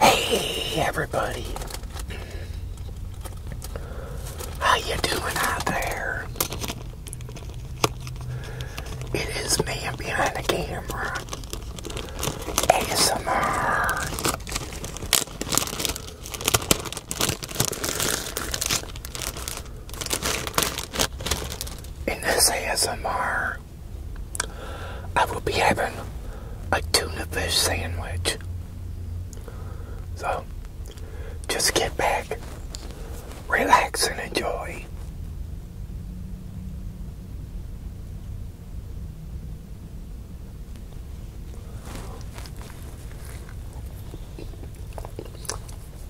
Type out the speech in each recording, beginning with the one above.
Hey everybody. How you doing out there? It is me behind the camera. ASMR. In this ASMR I will be having a tuna fish sandwich. So, just get back, relax, and enjoy.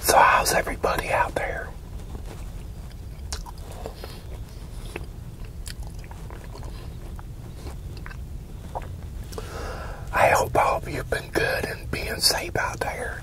So, how's everybody out there? I hope all of you've been good and being safe out there.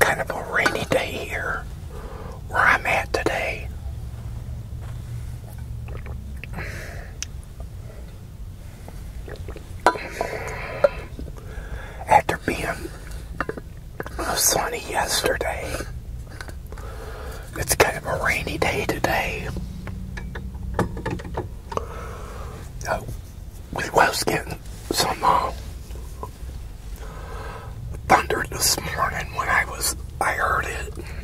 Kind of a rainy day here where I'm at today. After being sunny yesterday, it's kind of a rainy day today. Uh, we was getting some uh, thunder this morning when I was I heard it.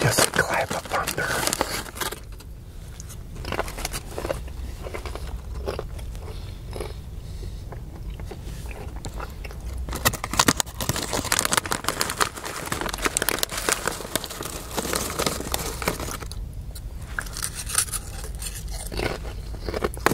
Just clap of thunder.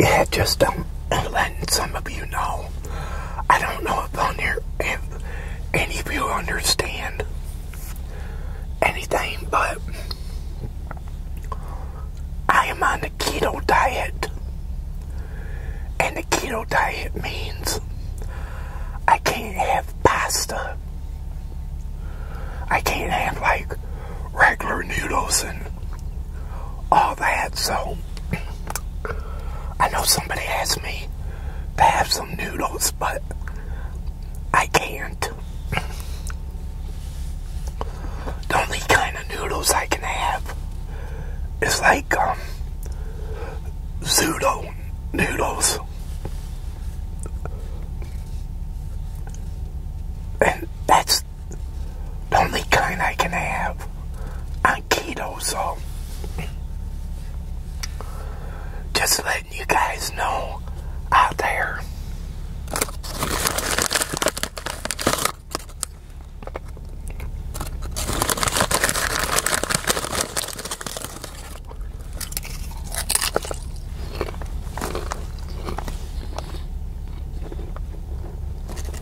Yeah, just um, let some of you know. I don't know if on here if any of you understand anything, but I am on the keto diet. And the keto diet means I can't have pasta. I can't have like regular noodles and all that. So, I know somebody asked me to have some noodles, but I can't. The only kind of noodles I can have is like, um, Zudo noodles. And that's the only kind I can have i on keto, so just letting you guys know out there.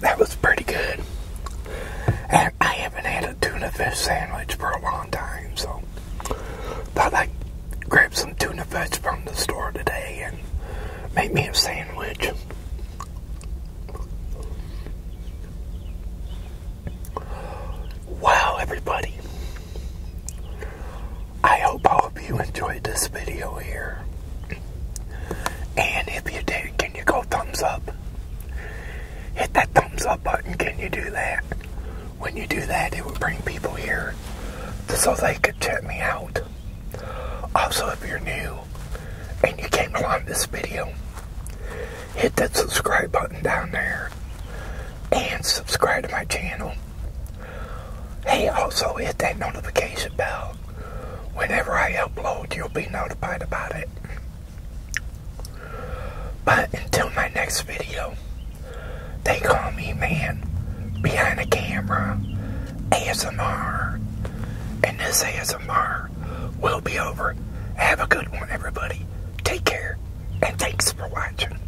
that was pretty good. And I haven't had a tuna fish sandwich for a long time, so thought I'd grab some tuna fish from the store today and make me a sandwich. Wow, everybody. I hope all of you enjoyed this video here. And if you did, can you go thumbs up? Hit that thumbs up button. Can you do that? When you do that, it will bring people here so they could check me out. Also, if you're new and you came along this video, hit that subscribe button down there and subscribe to my channel. Hey, also hit that notification bell. Whenever I upload, you'll be notified about it. But until my next video, they call me man behind the camera ASMR. And this ASMR will be over. Have a good one, everybody. Take care, and thanks for watching.